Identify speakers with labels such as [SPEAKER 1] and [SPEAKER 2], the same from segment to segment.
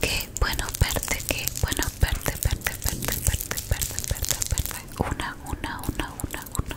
[SPEAKER 1] Qué bueno verte, qué bueno una, una, una, una, una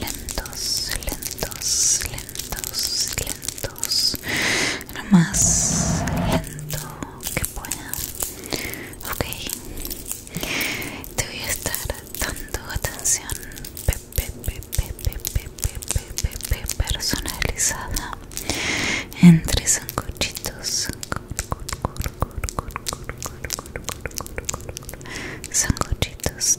[SPEAKER 1] lentos, lentos, lentos, lentos, lo más lento que pueda. Ok, te voy a estar dando atención personalizada entre sancochitos. Sancochitos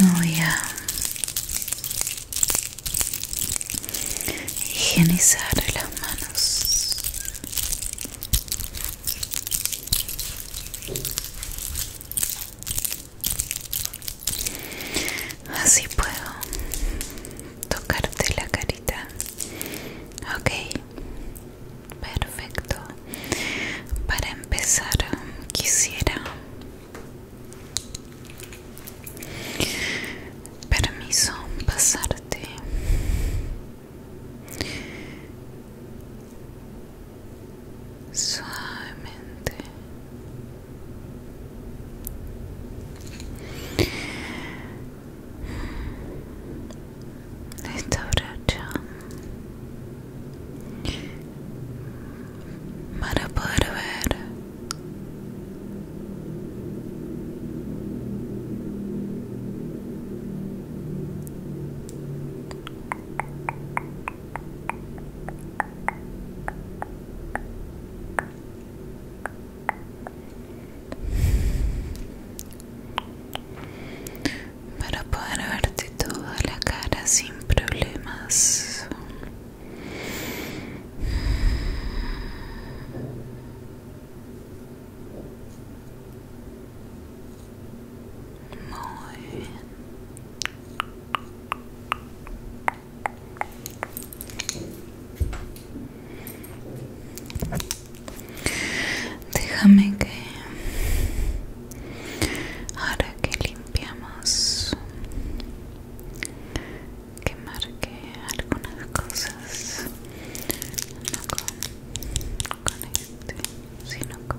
[SPEAKER 1] Me voy a higienizar las manos. Así puedo tocarte la carita. Ok, perfecto. Para empezar, quisiera... Permiso pasarte suavemente esta bracha para poder ver para poder verte toda la cara sin problemas muy bien Déjame que ahora que limpiamos que marque algunas cosas no con, este sino con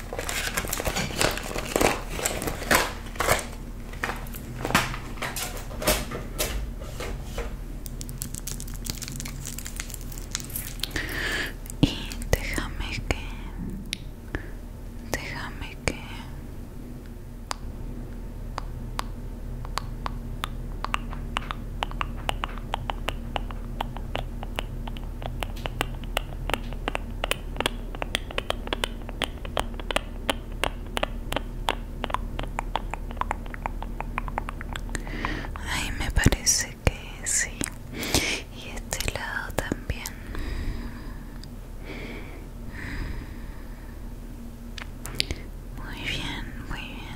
[SPEAKER 1] Y déjame que, déjame que Ay, me parece que sí. Y este lado también. Muy bien, muy bien.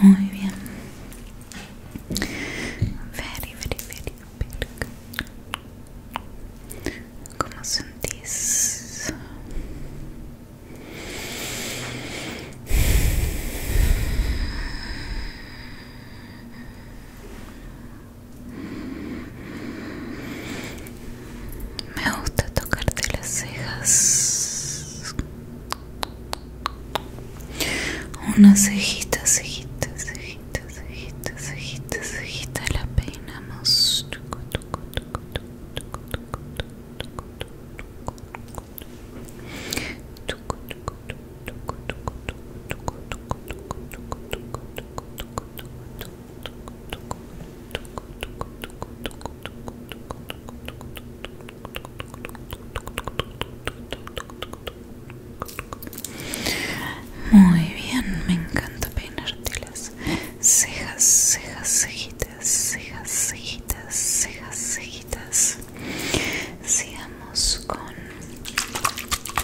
[SPEAKER 1] Muy bien. Very, very, very big. ¿Cómo sentís? Me gusta tocarte las cejas. Una cejita, cejita, cejita, cejita, cejita, cejita, la peinamos. Muy bien, me encanta peinarte las cejas, cejas, cejitas, cejas, cejitas, cejas, cejitas. Sigamos con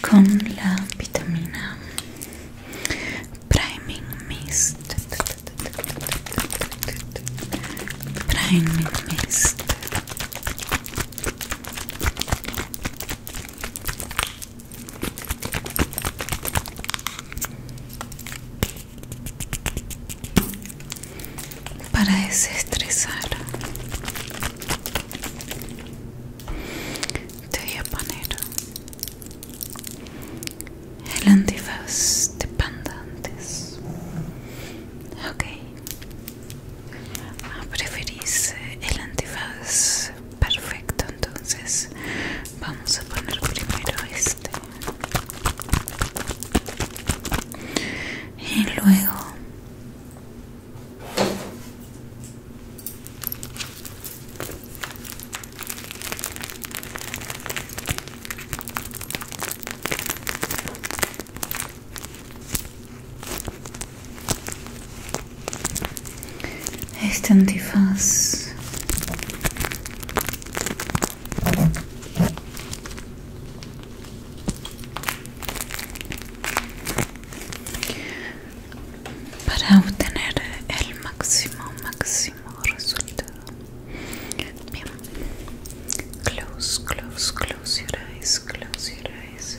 [SPEAKER 1] con la vitamina priming mist priming mist para desestresar te voy a poner el antifaz de pandantes ok ah, preferís el antifaz perfecto entonces vamos a poner primero este este. y luego este antifaz para obtener el máximo máximo resultado bien close close close your eyes close your eyes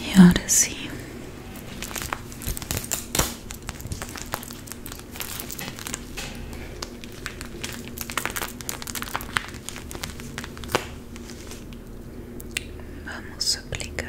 [SPEAKER 1] E agora sim. Vamos aplicar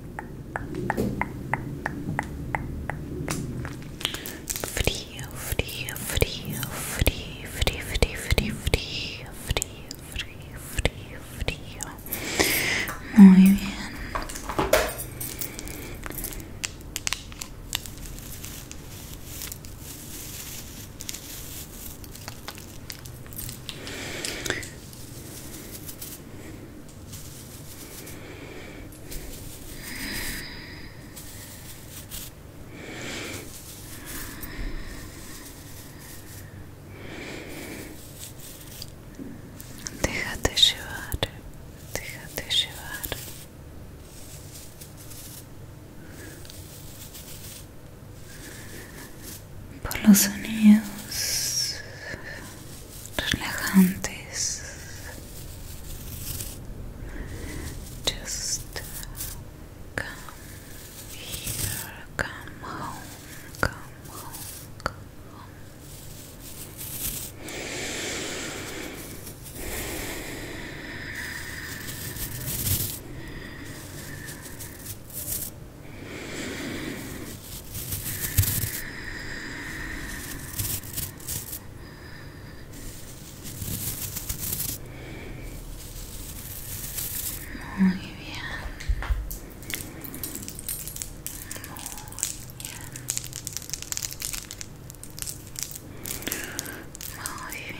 [SPEAKER 1] Frío, frío, frío, frío, frío, frío, frío, frío, frío, frío, frío, frío. Muy bien. Déjate llevar, déjate llevar. Por los sonidos relajantes just come here come home come home come home Come Muy bien. Muy bien. Muy bien.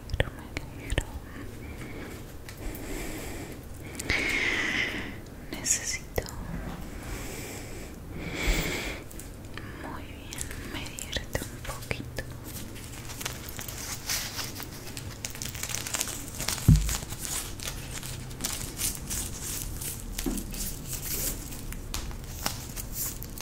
[SPEAKER 1] Necesito. Muy bien, medirte un poquito.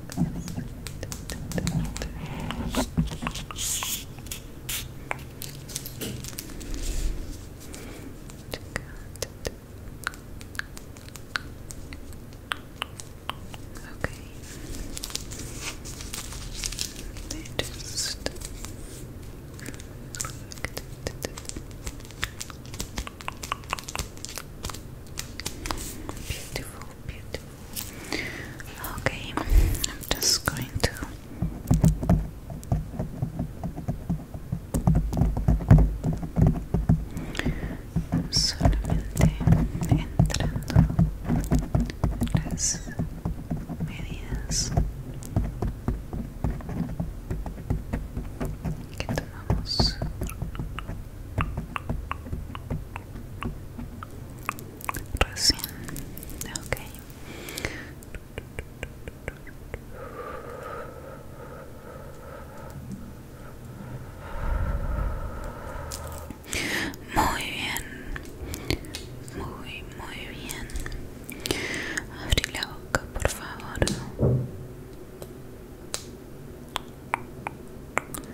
[SPEAKER 1] Okay. They just beautiful, beautiful, Okay, I'm just going to solamente entrando las medidas que tomamos recién ok muy bien muy muy bien abrí la boca por favor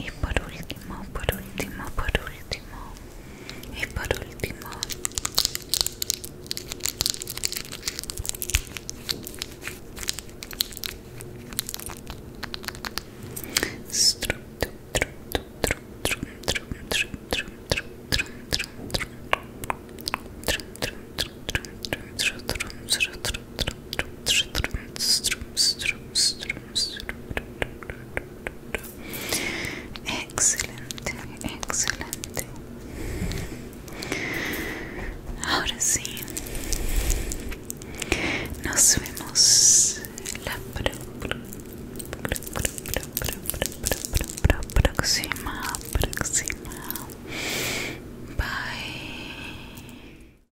[SPEAKER 1] Y por último, por último, por último y por último. Excelente, excelente. Ahora sí, nos vemos la próxima, próxima. Bye.